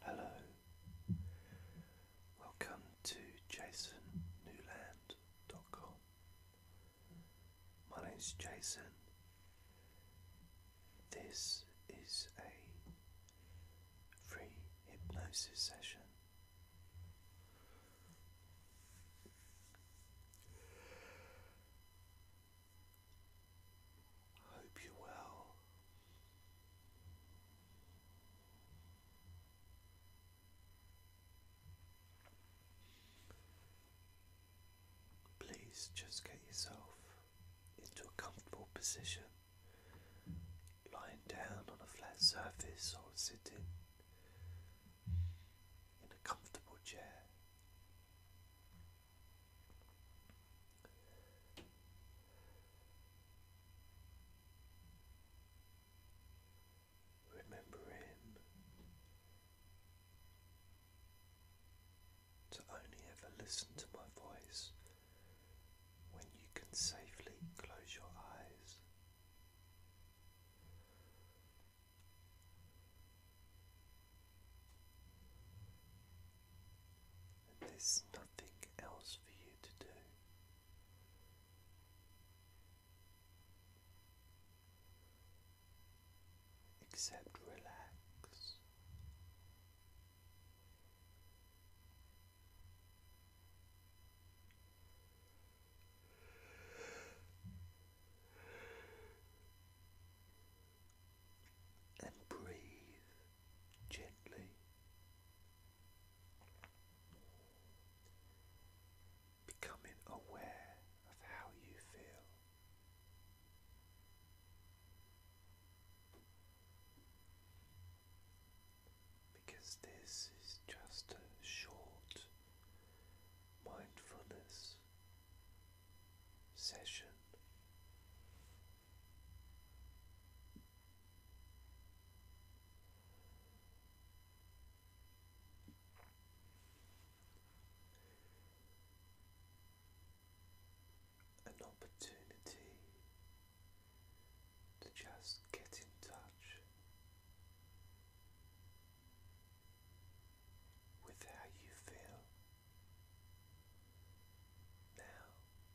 Hello, welcome to jasonnewland.com. My name is Jason. This is a free hypnosis session. Hope you're well. Please just get yourself into a comfortable position, lying down on a flat surface or sitting in a comfortable chair. Remembering to only ever listen to my voice when you can safely close your eyes there's nothing else for you to do. Except relax and breathe gently becoming aware of how you feel because this is just a short mindfulness session an opportunity to just get in touch with how you feel now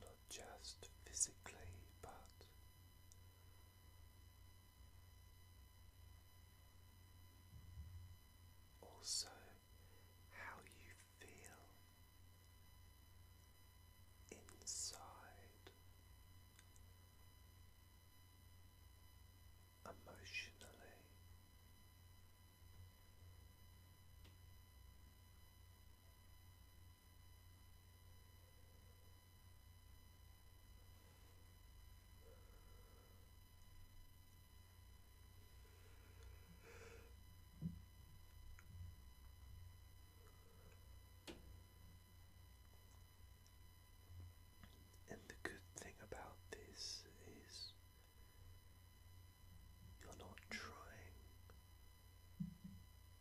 Not just physically, but also how you feel inside emotionally. And the good thing about this is you're not trying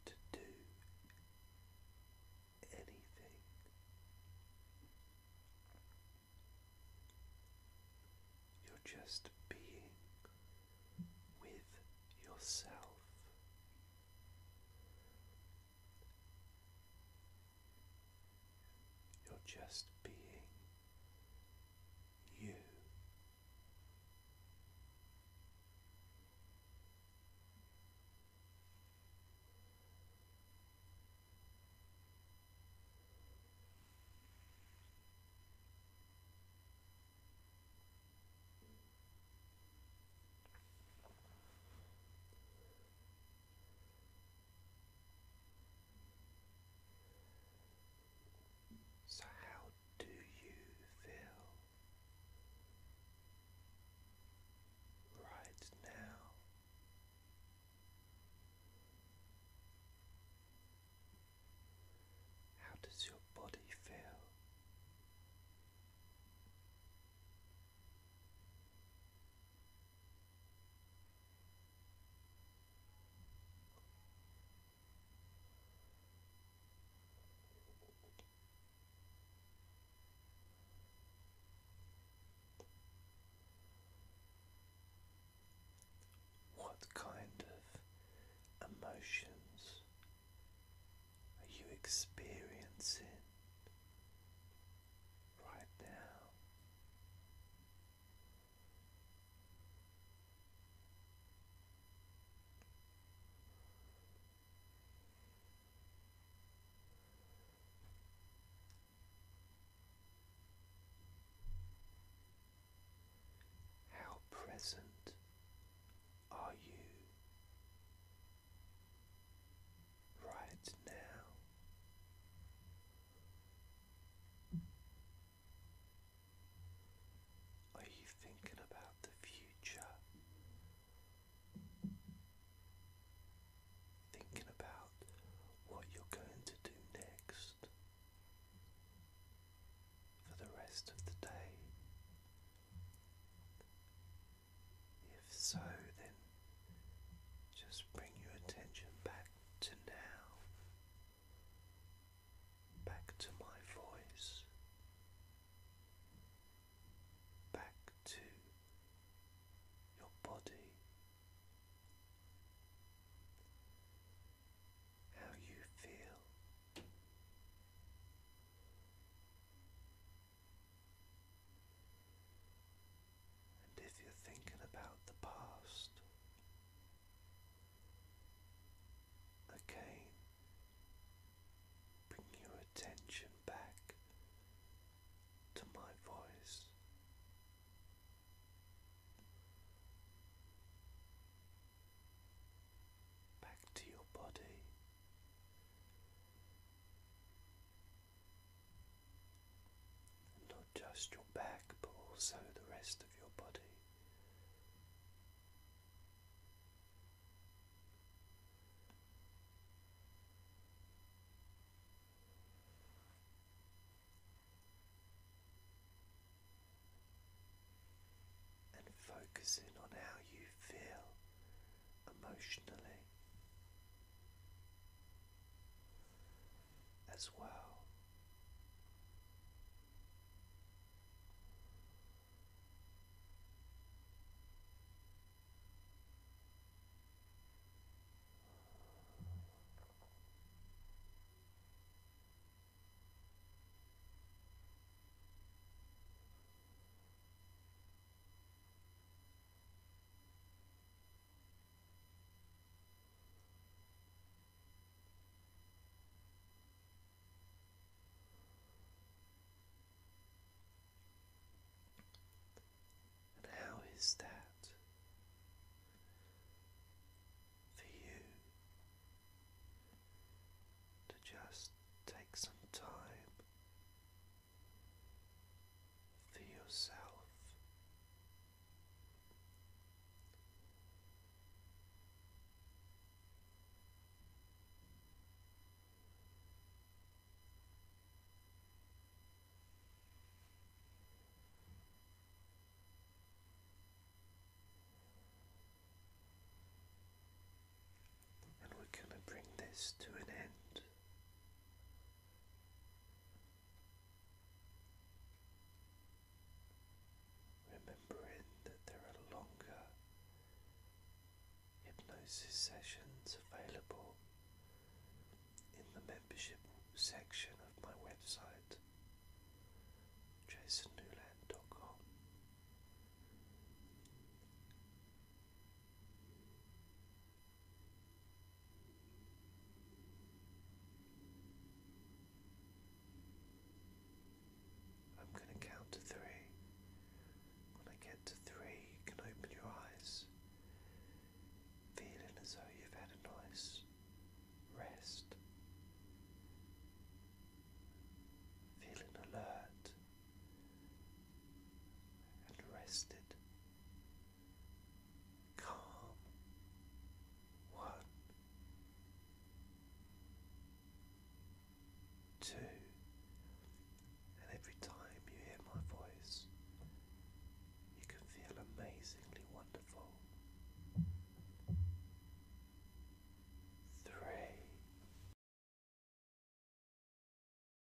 to do anything. You're just being with yourself. You're just being you. So, how do you feel right now? How does your body feel? What kind of emotions are you experiencing right now. How present are you right now. Are you thinking about the future? Thinking about what you're going to do next for the rest of the day? If so, then just bring your attention back to now, back to my voice, back to your body, how you feel. And if you're thinking about the past, again, bring your attention back to my voice. Back to your body, not just your back, but also the rest of your body. And focusing on how you feel emotionally as well. And how is that for you to just take some time for yourself. And we're going to bring this to an end Remembering that there are longer hypnosis sessions available in the membership section of my website jasonnewland.com. I'm going to count to three. When I get to three, you can open your eyes, feeling as though you've had a nice rest, feeling alert and rested, calm one, two, and every time you hear my voice, you can feel amazingly wonderful. Three.